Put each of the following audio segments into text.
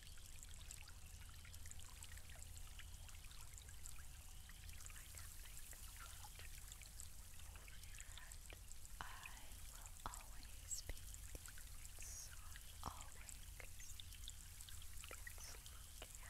will always be so always it's looking at me. Should I look at it? Should I look at it?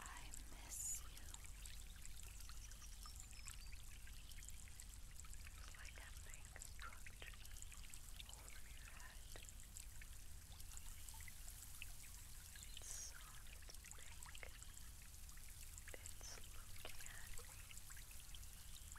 I miss you. It's like a big structure over your head. It's soft and pink. It's looking at me. Should I look at it? It's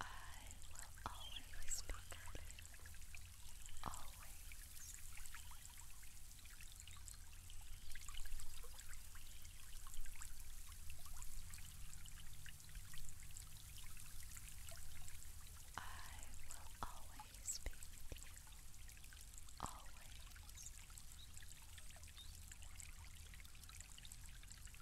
I will always be good. Always. I will always be you. Always.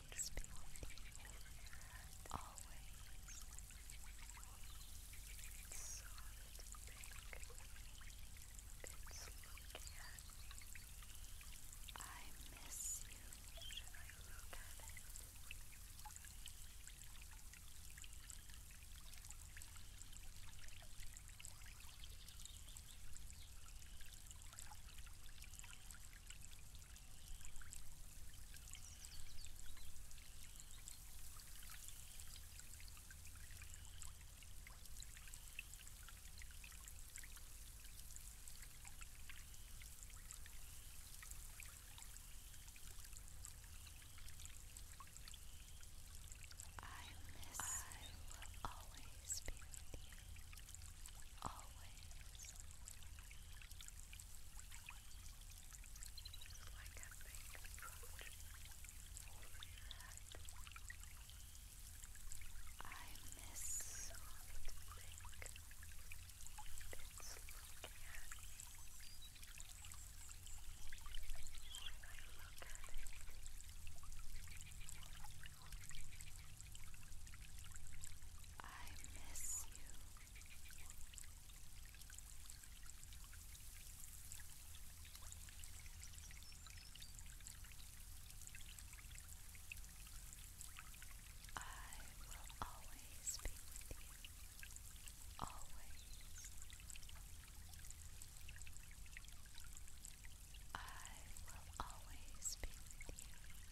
always be with you. Always. It's soft, thick. It's looking I miss you. Should I I miss I will always be with you always like a big coat over your head. I miss soft pink that's looking at me. When I look at it, I I miss you. I will always be with you. Always. I will always be with you.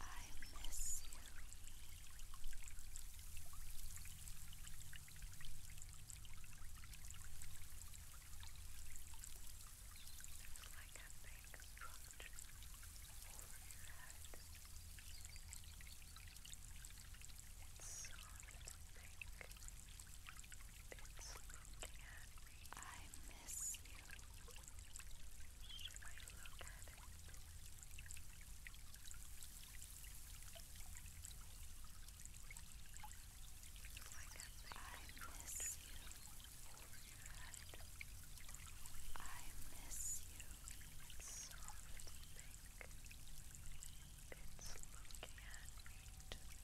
I miss you. It's like a big structure over your head. It's soft and pink. I miss miss you. Should I look at it? I miss you. I miss you. It's soft, thick. It's looking at me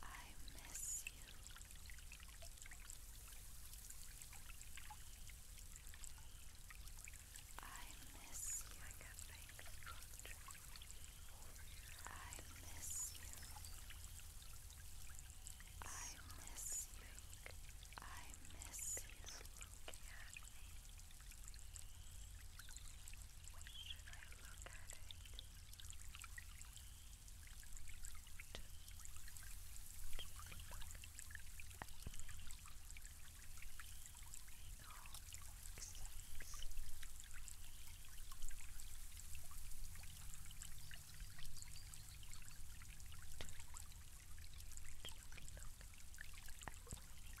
I miss you. I miss you. I got things I miss you. I miss you. I miss you. Look at me. Should I look at it? Just, just look at me. It all makes sense. Just, just look at me. It all makes sense.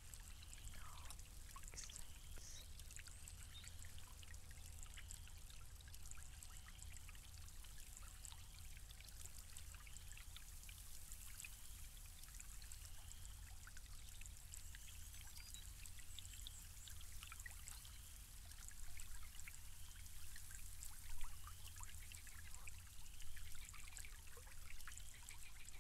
It all makes sense. It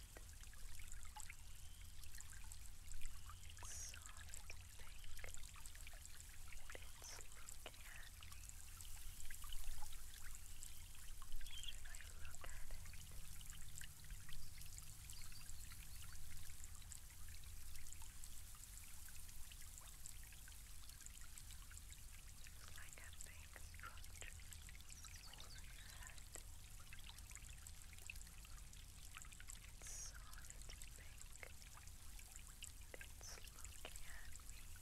soft pink that it's looking at. Should I look at it? It's like a pink structure over your head. It's soft pink. It's looking at me. Should I look at it? like a big structure over your head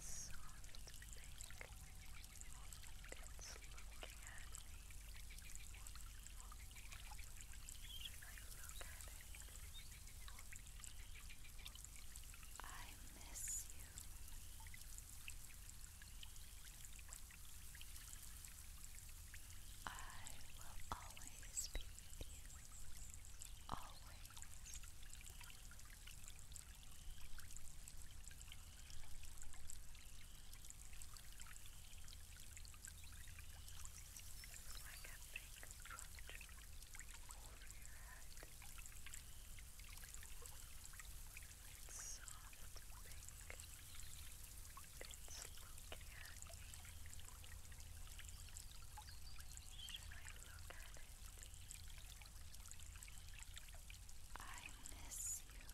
soft pink. It's looking at me. I miss you. I will always be with you always. Like a big structure over your head. It's soft pink. It's looking at me. Should I look at it? I miss you. It's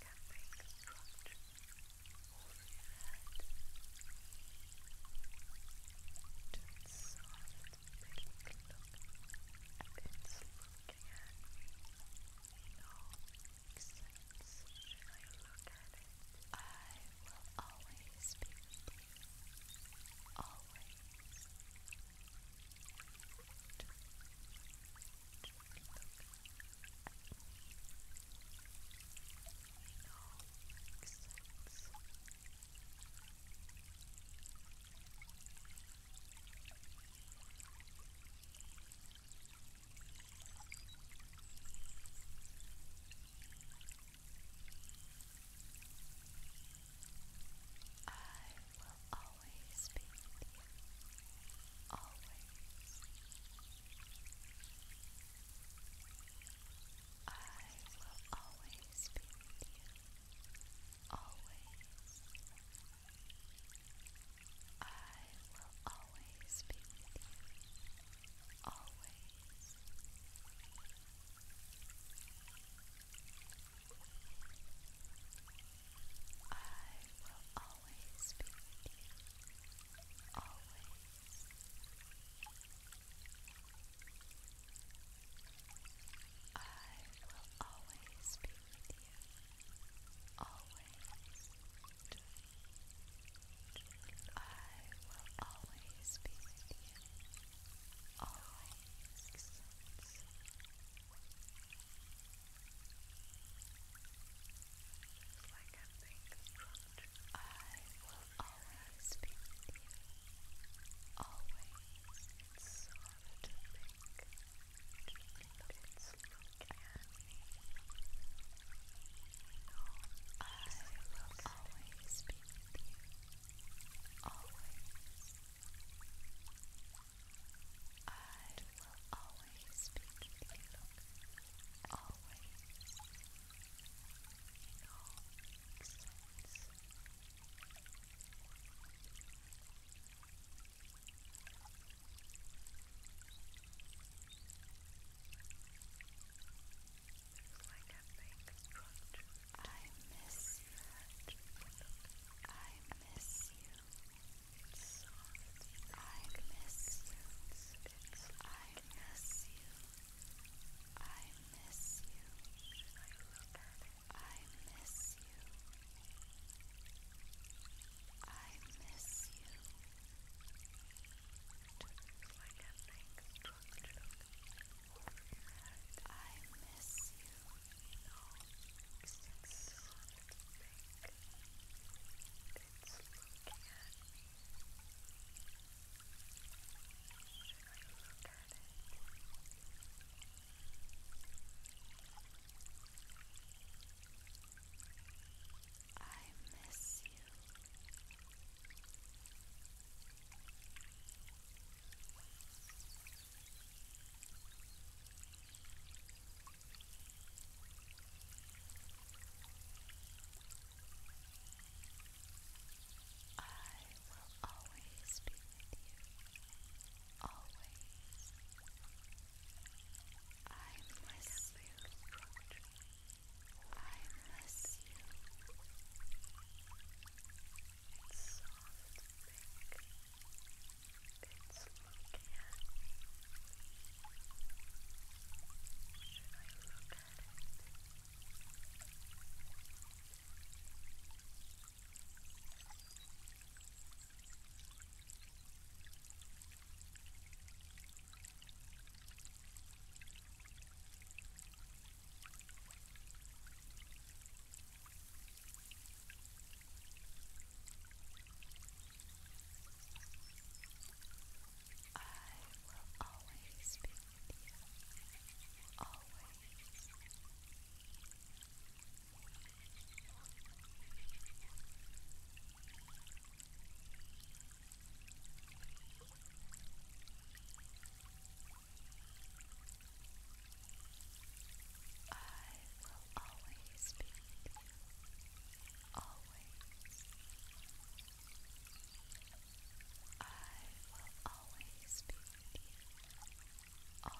like a big brush over your head it's looking at me. No sense I look at it. I will always be with you. Always. Just, look at me. No sense I will always be with you. Always. I will always be with you always. I will always be with you. Always. I will always be with you. Always. I will always be with you. I will always be you. Always. I will always be you. Always. Like a big I will always be you. Always soft pink. Let's look at me. I will always be with you. Always. I will always be with you. Always. It all makes sense like I miss that. I miss you. It's soft. I miss you. It's I miss you. I miss you. I miss you. I miss you. Just like a big structure over your head. I miss you. No, it's not big. It's looking at me. Should I look at it? I miss you. I will always be with you always. I miss you. I miss you. It's soft, It's looking at me. Should I look will always be with you. Always will always be with you. Always. I will always be with you always. I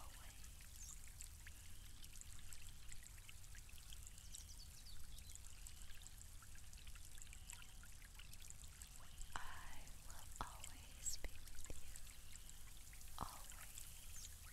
will always be with you. Always. I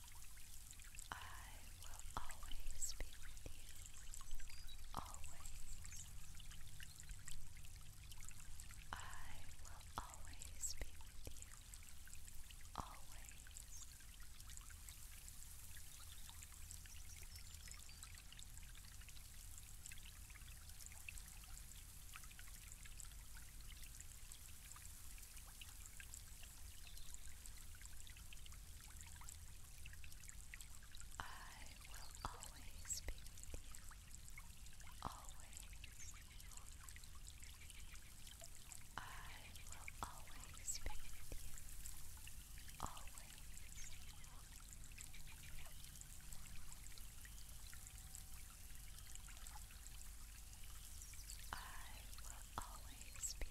I will always be with you. Always. I will always be with you. Always. I will always be you. Always. I will always be you. Always. I will always always you.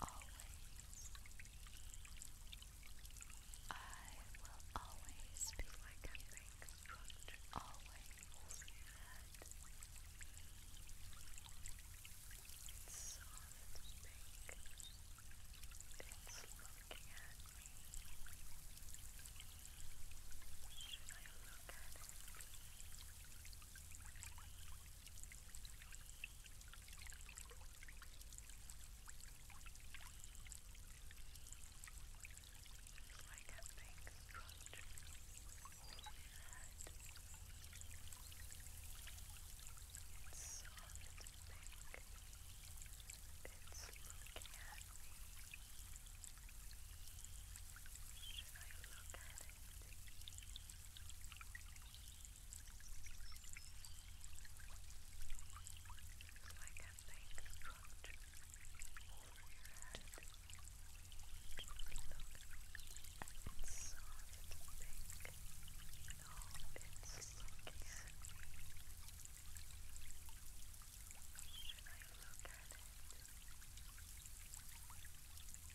I will always be like a big foot. Always. It's soft pink. looking at me. Should I look at it? It's like a big structure over your head. It's soft and big. It's looking at me. Should I look at it? like a big structure over your head. Look, it's soft, pink. No, it's looking at me. Should I look at it? Should I look at it?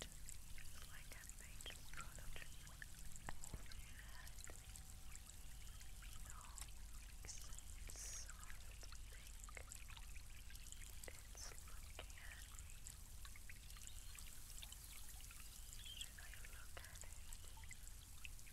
Just like that made just product over your head. No, sense of think. It's looking at me. Should I look at it? It's looking at me.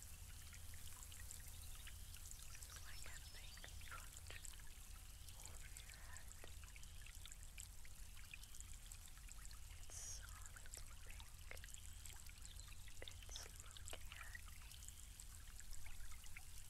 like a big foot over your head. It's soft and It's looking at me. Should I look at it?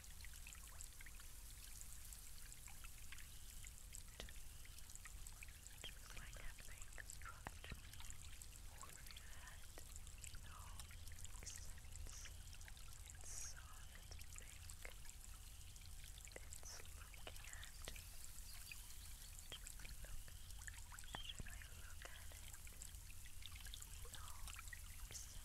Just like that thing struck me over your head. It all makes sense. It's solid, big. It's looking at. Just look. Should I look at it? It all makes sense.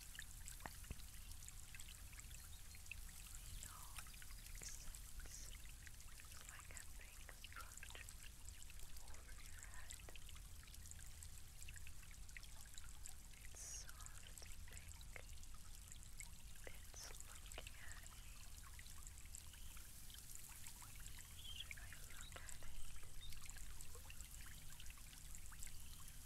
It's like a big structure over your head. It's soft and pink. It's looking at me. Should I look at it?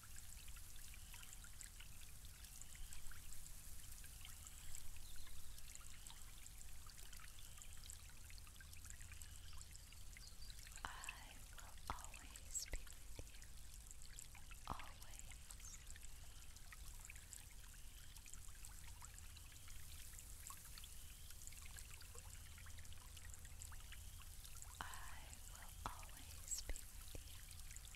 I will always be with you. Always. I will always be with you.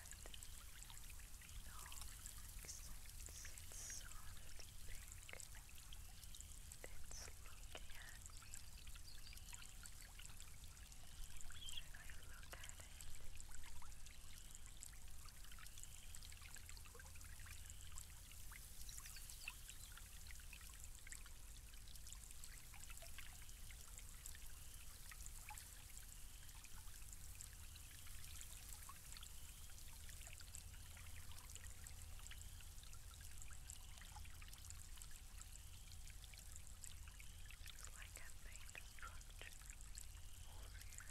It all makes sense. It's soft pink. It's looking at me. And I look at it. It it's like I made a structure over your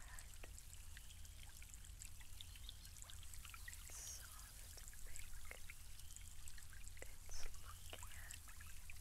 head. It's soft and pink. It's looking at me.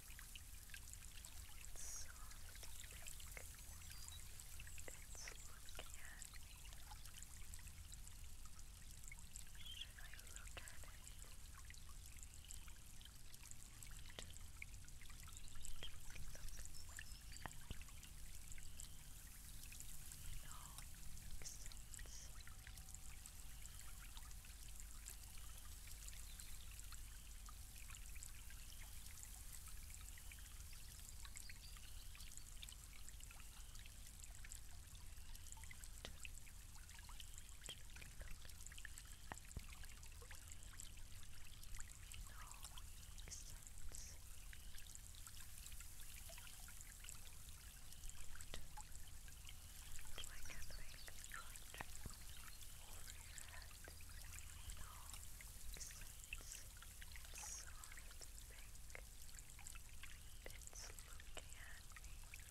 It's soft pink. It's looking at me. Should I look at it? Just, just look at me. No, makes sense. Just look at like a big country over your head in all except soft pink. It's looking at me. Should I look at it? It's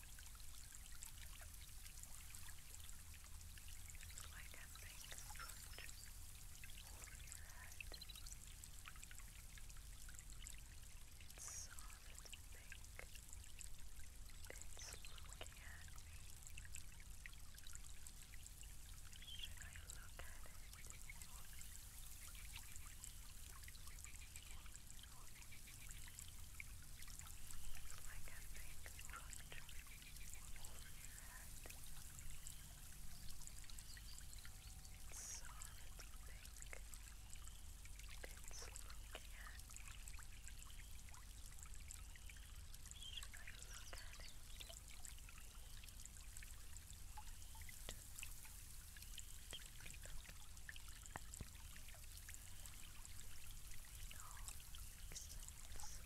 So I can bring the brush over your head. It's soft and pink. It's looking at me. Should I look at it? like a big structure over your head. It's solid pink. It's looking at me. Should I look at it? Just, just look at me. It all makes sense. It all makes sense.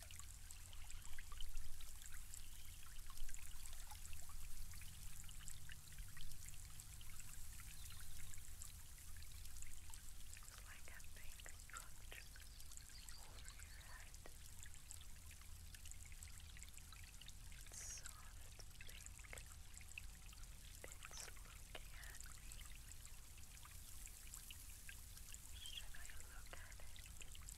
It's like a big structure over your head. It's soft pink. It's looking at me. Should I look at it?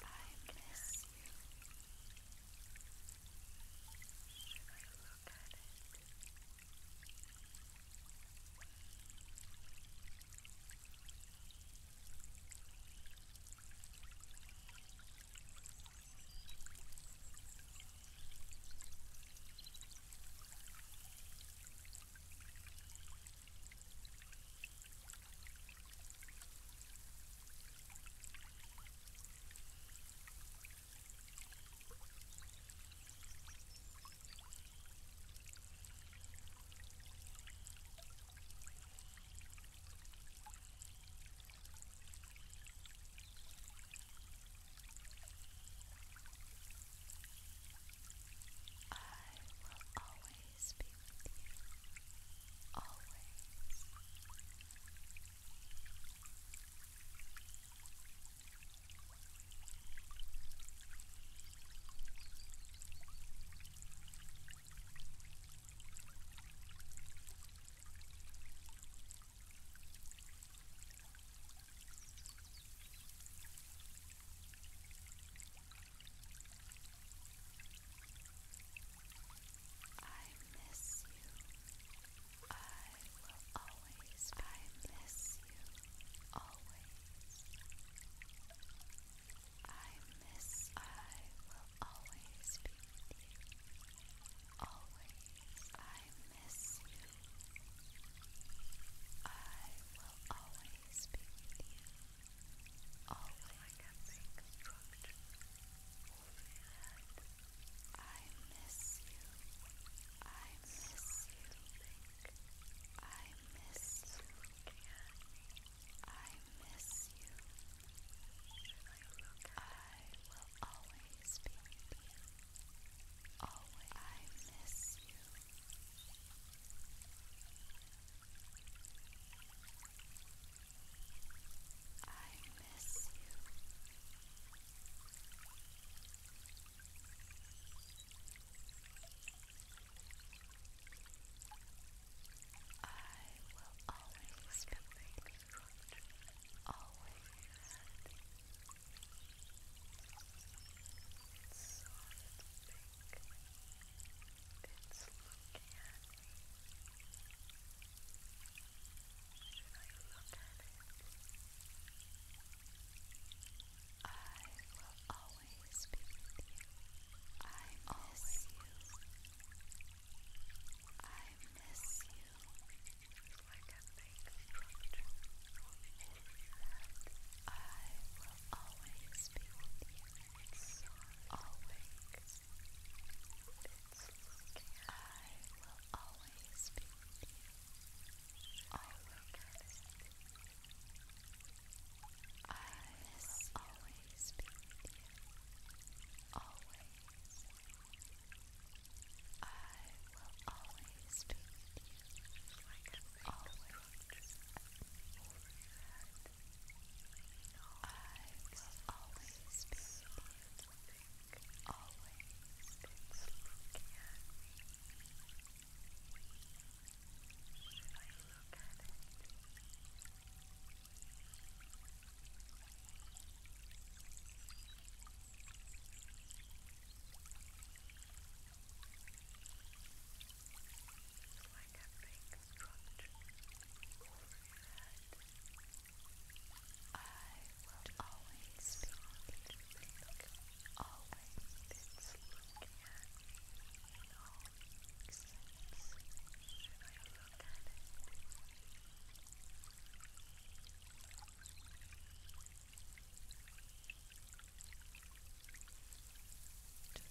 I miss you. Should I look at it? I will always peace be with you always. I miss you. I will always, I miss you. Always. I miss, I will always be Always, I miss you. I will always be with you. Always I miss you. I miss you. I miss you. I miss you. I will always be with you. Always. I miss you. I miss you. I will always be grateful, always. Soft pink. It's looking at me. Should I look at it? I will always be with you. I miss you. I miss you. It's like a big structure. I will always be with you. It's always. It's I will always be you. Always. I will always be Always. I will always be Always will always be looking at me. Should Should I look at it? like a big structure over your I will always be looking, always it's looking at me in all sense. at it?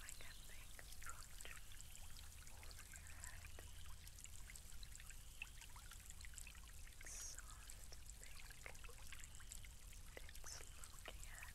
like a big structure over your head. It's soft and big. It's looking at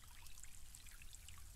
will always be with you. Always.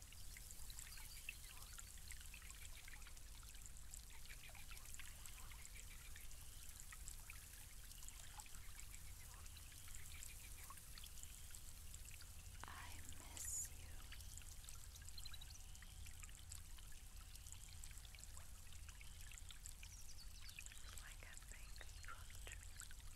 I miss you. It's like a big brush over your head.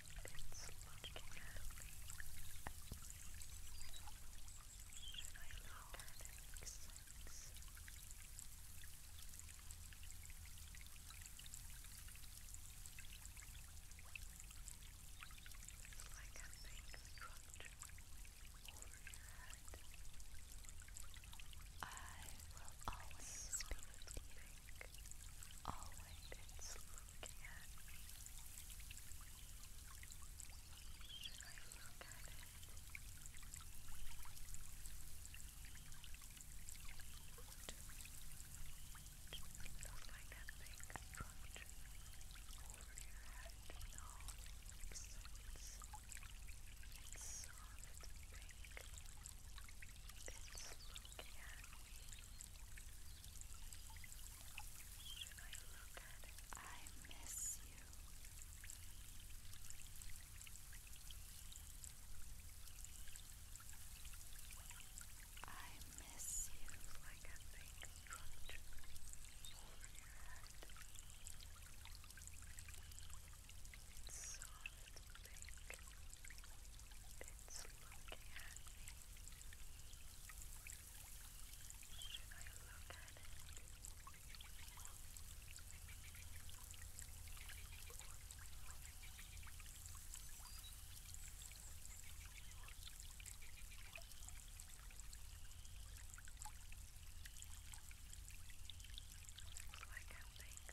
It's looking at me. I allow that? It makes It's like a big structure over I will always be you think always it's looking at Should I look at it? Just like that thing dropped over your head. No, it's, it's, it's soft pink. It's looking at me. Should I look at it? I miss you. I miss you like a big front over your head. Soft pink. It's looking at me. Should I look at it? It's like I'm being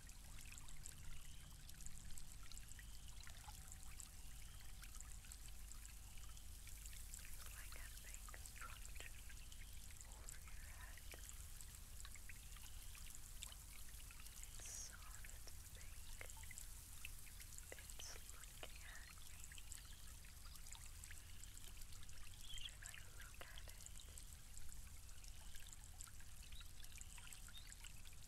It's like a big structure over your head. It's soft, big. It's looking at me. Should I look at it?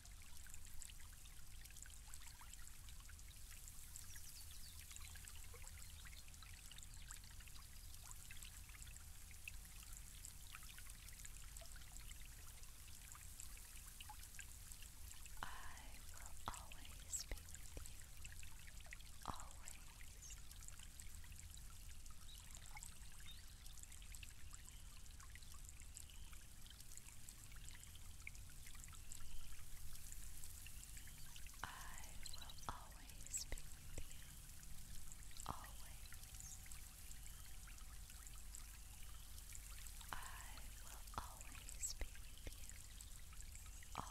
will always be with you. Always. I will always be with you. Always. I will always be with you. Always.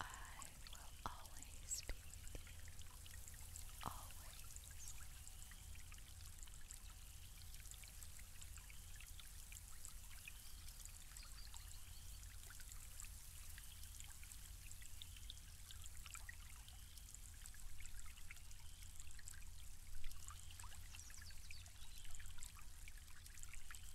I will always be with you. Always. Thank you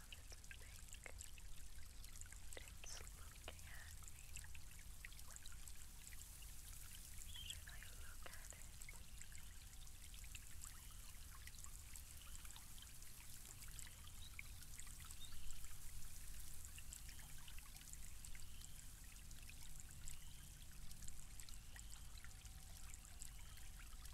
on its back. It's looking at me. Should I look at it? It's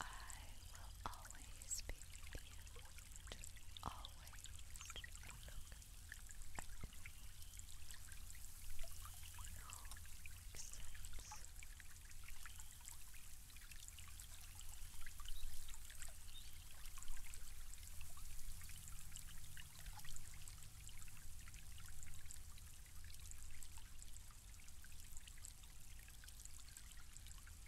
I will always be with you always look at It all makes sense. Thank you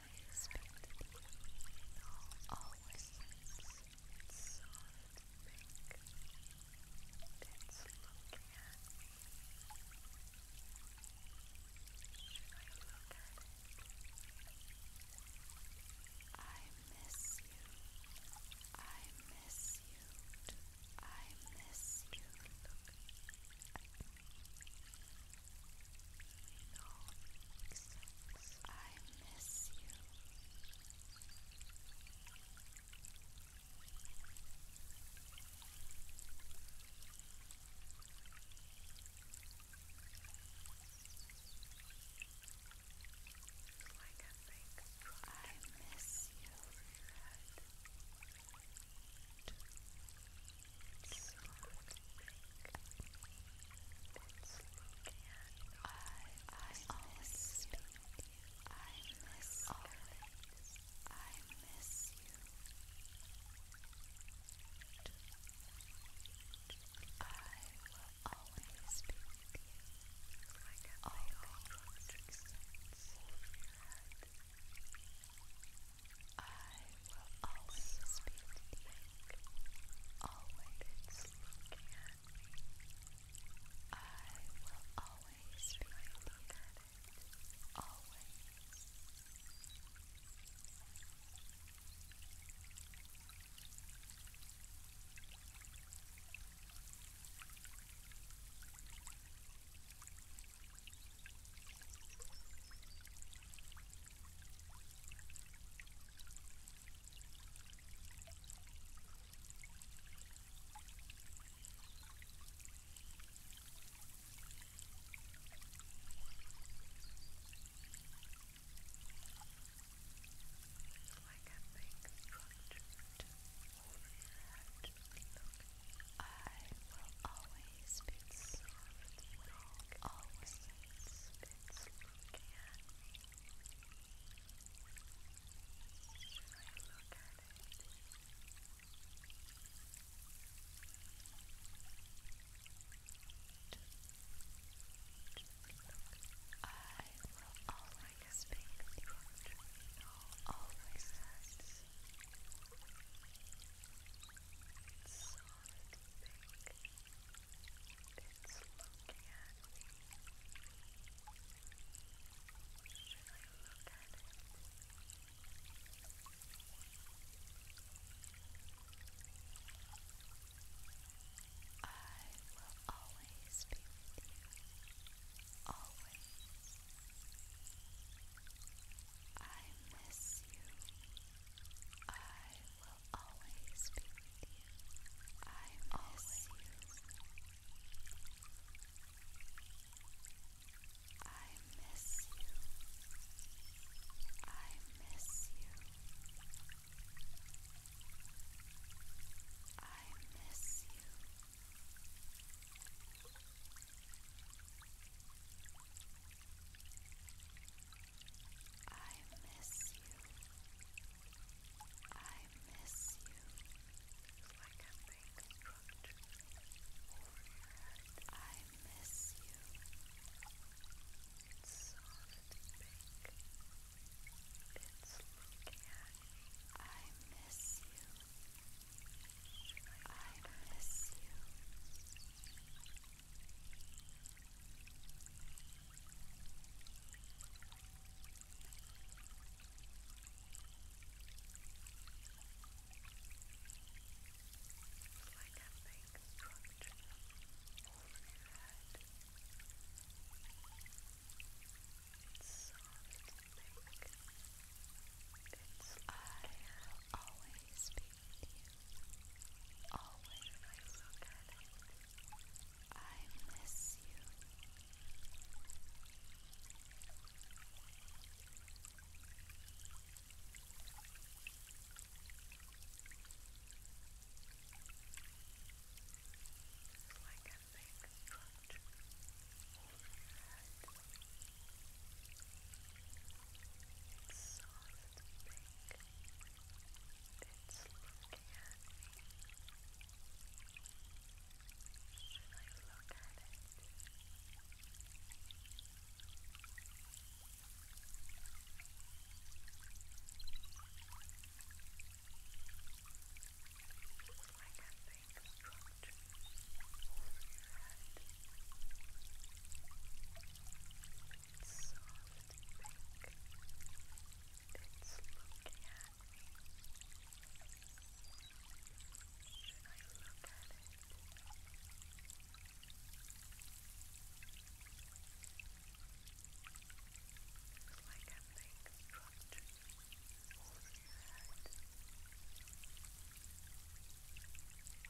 I been the beginning, always since soft, thick bits looking at I look at I miss you. I miss you. I miss you. No sense. I miss you. Like a big I miss you, Fred miss you. I miss always. I miss you. I will always be Like a always. I will always speak to always looking I will always be looking at always. Like a big structure over your head. Look, I will always be soft, always it's, it's looking at me. Should I look at it? Just, I will always make the original, always says. It's solid pink. It's looking Should I look at it? I will always be with you. Always. I miss you. I will always be with you. I miss you. I miss you. I miss you. I miss you. I I miss you. I miss you. like a big rug I miss you. It's soft pink. It's looking I miss you. I miss you like a big structure over your head. It's soft, thick. Its air always be with you. Always. I I miss you. It's like a big coat over your head. It's soft sleeping. It's looking at me. Should I look at it? It's like I think structures over your head soft pink that's looking at me. Should I look at it? It's like a pink structure holding your head.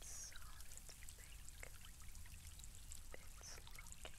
It's soft pink. It's looking at me. Should I look at it? It's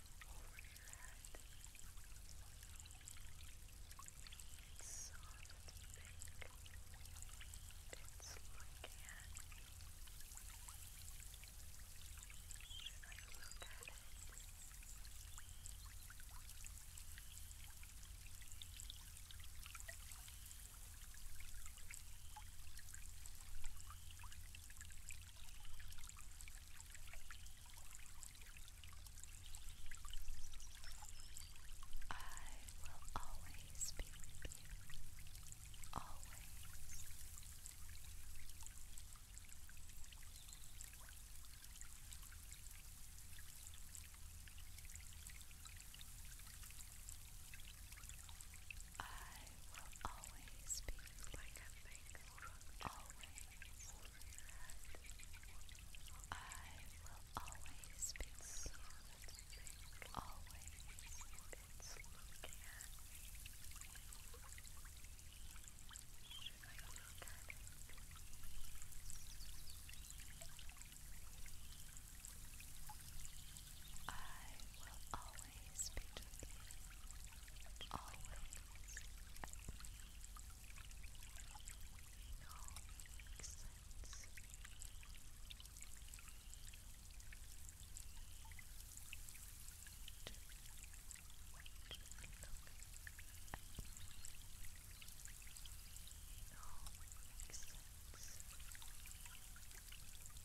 over your head. It's soft and big, and it's looking at me. And I look at it. It's I will always be with you. Always. I will always be like a thankful always I will always be always be should I look at it? I will always be with you always at me. It all makes sense. Just, just look at me. It all makes sense. It all makes sense.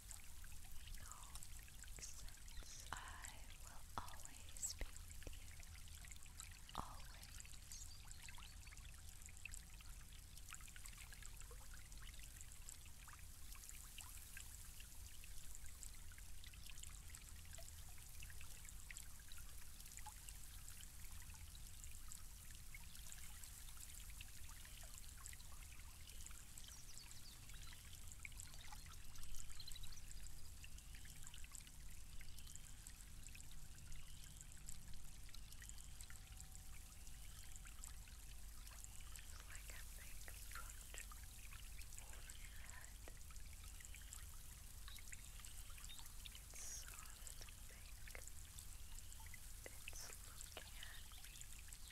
No sense. I will always be with you. Always. Thank you like a big front over your head. It's soft and pink. It's looking at me.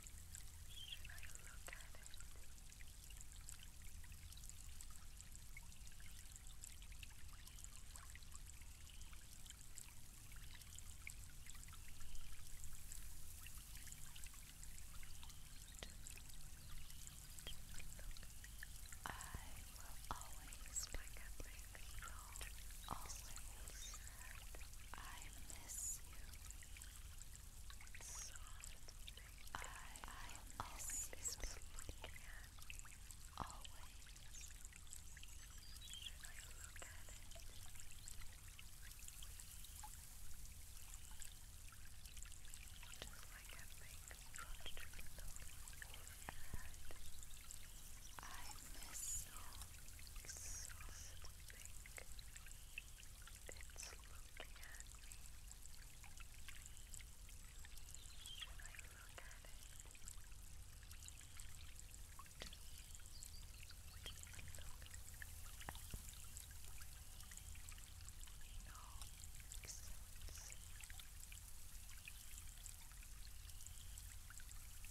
Should I look at it? Just, just look. I will always pick up my Always. I miss you. Soft I, I always believe in. Always. Should I look at it? Just like a big country I miss you. Soft think it's looking at me. Should I look at it? Do I look at it? No, makes sense.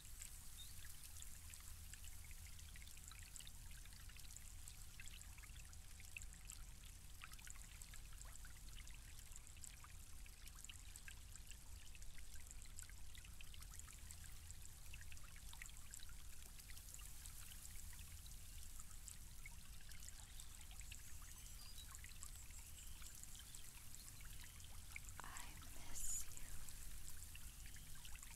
I miss you.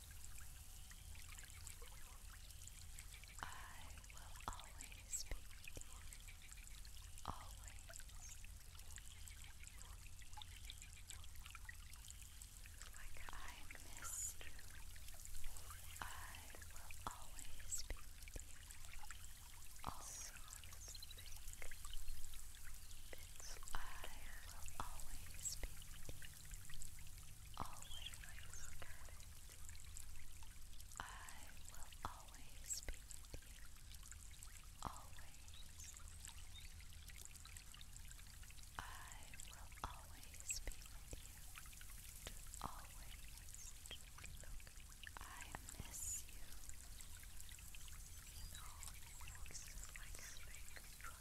I will always be with you. Always. Like I miss you. I will always be with you. Also, I will always be with you always look at it. I will always be with you. Always. I will always be with you. always I miss you. You know, it's like a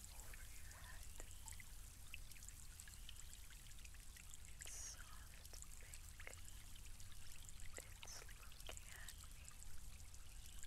over your head. It's soft pink. It's looking at me. And I look at it. It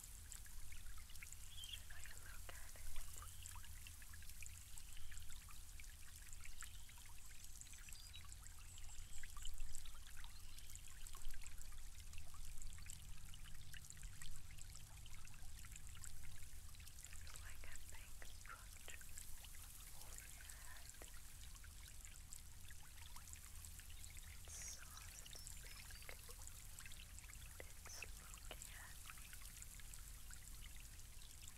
Should I look at it? There's like a big structure over your head. It's soft, big, it's looking at me.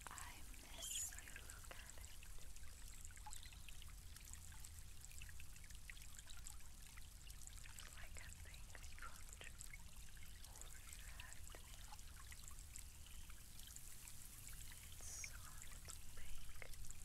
I miss you, look at it. It's like a thing dropped over your head. It's soft pink. at me.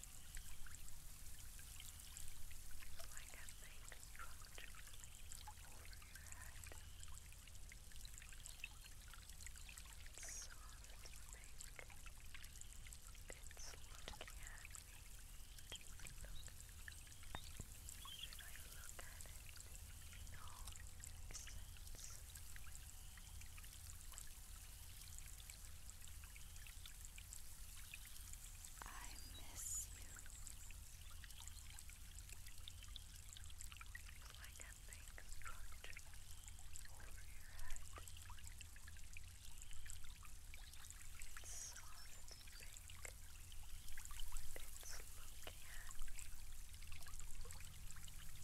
like a big structure over your head. It's soft pink. It's looking at me. Look. Should I look at it? No, it sense. It's I miss you it's like a big sponge over your head it's soft and big it's looking at me and I look at it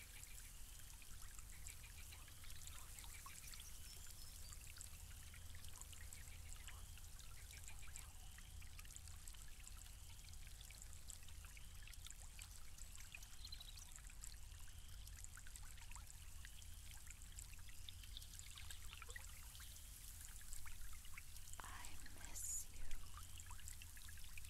I miss you.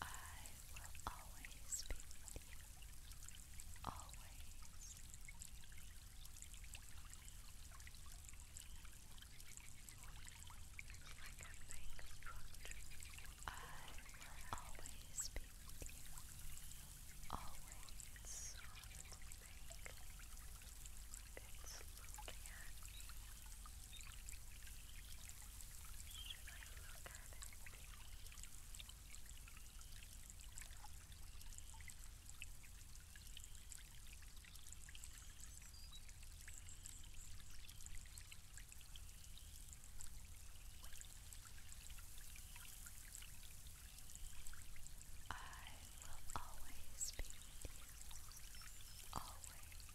I will always be with you. Always. Like a big structure. I will always be with you. Always. It's looking at me. I will always be with you. Always.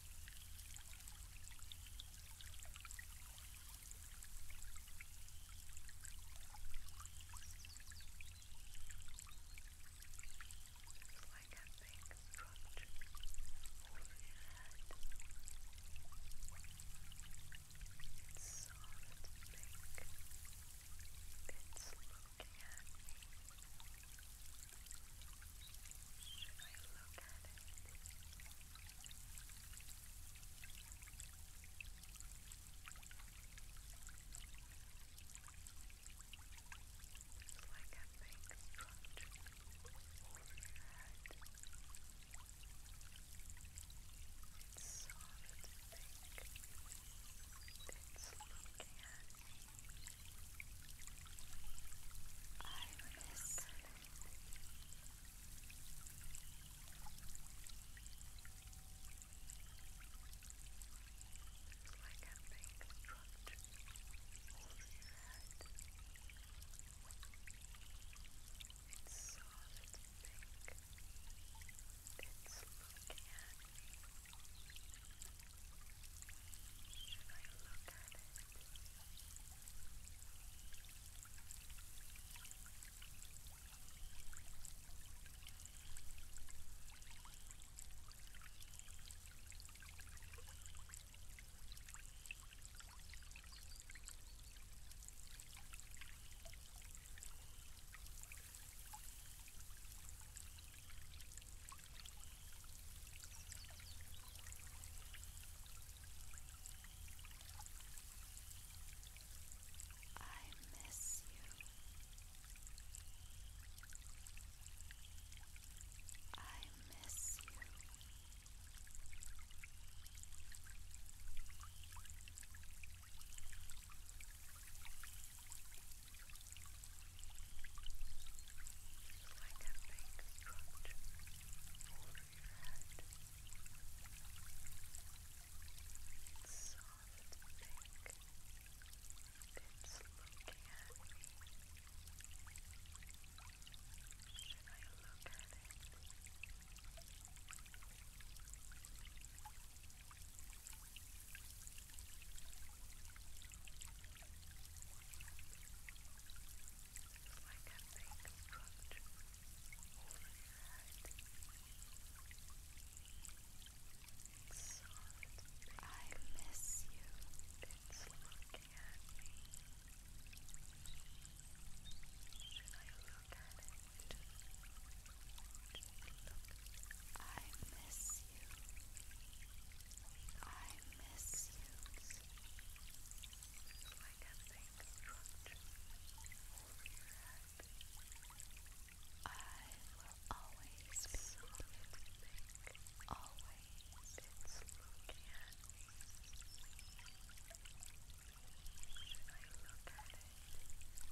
It's like a big brush over your head. It's soft, thick. It's looking at me. Should I look at it? It's like a big structure over your head. It's soft and thick. It's looking at me. Iris. It's like a big truck over your head. It's soft, it's big. It's looking at me and I look at it. I I miss you. I miss you. I I can make structure over your head. It's soft pink. It's looking at me. Should I look at it? I so I can reconstruct all of that solid pink. I miss you. It's looking at me. Should I look at it? Just look. I miss you. I miss you so I can then construct over your head. I will always be so think. Always it's looking at me. Should I look at it? It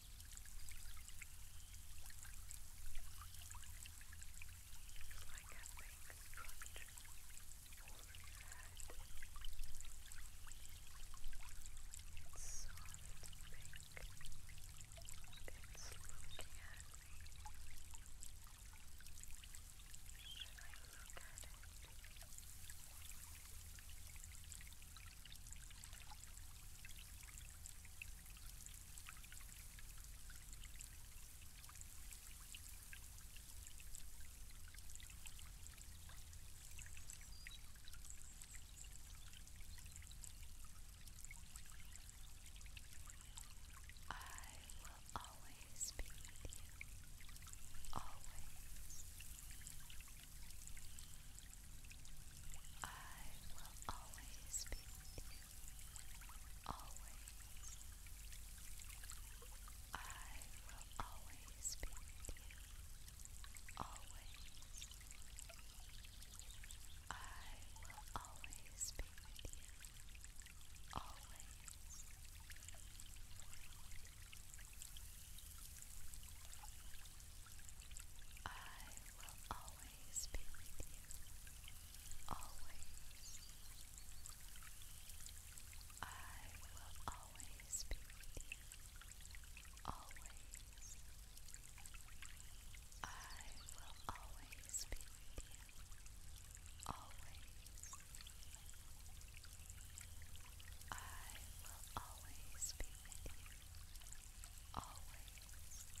It's like a big structure over your head. It's soft pink. It's looking at me. Should I look at it? I I will always be with you. Always. I will always be you. Always. I will always be you. Always. I will always be you. Always. I will always be with you. Always. I will always be with you. Always. I will always be with you. Always. I will always be with you always. I miss you.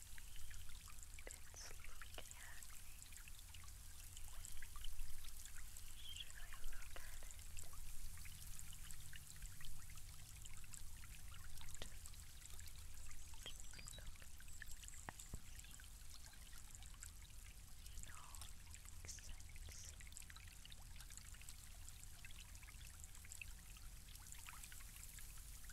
It's looking at me. Should I look at it? Just, just look at me. No, makes sense. It's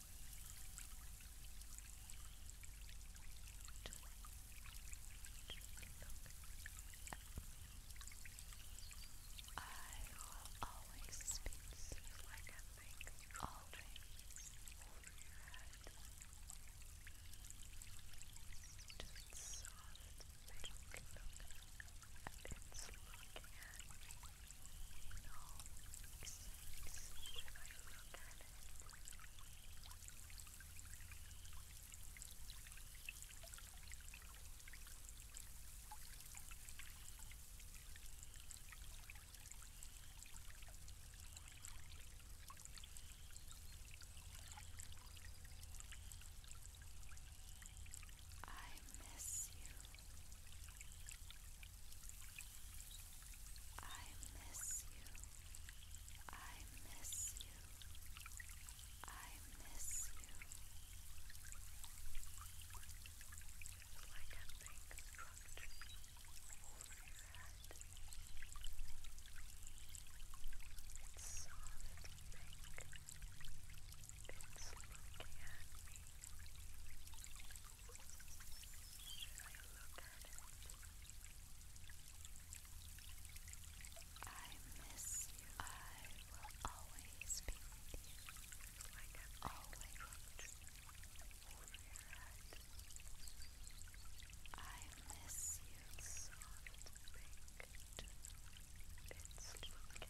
will always speak you like I think, always over your head. Just soft, pink look, and it's looking at me. No, sense should I miss you. I miss you. I miss you. I miss you. Like a big structure over your head. It's soft pink. It's looking at me. I miss you. I will always be Like i always looked over I miss you. It's soft It's looking at me. Should I look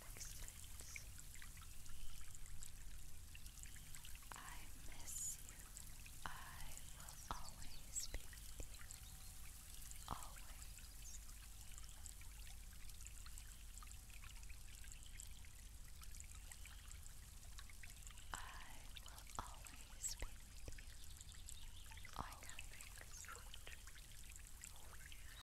existence. I miss you. I will always be with Always. I will always be with Always.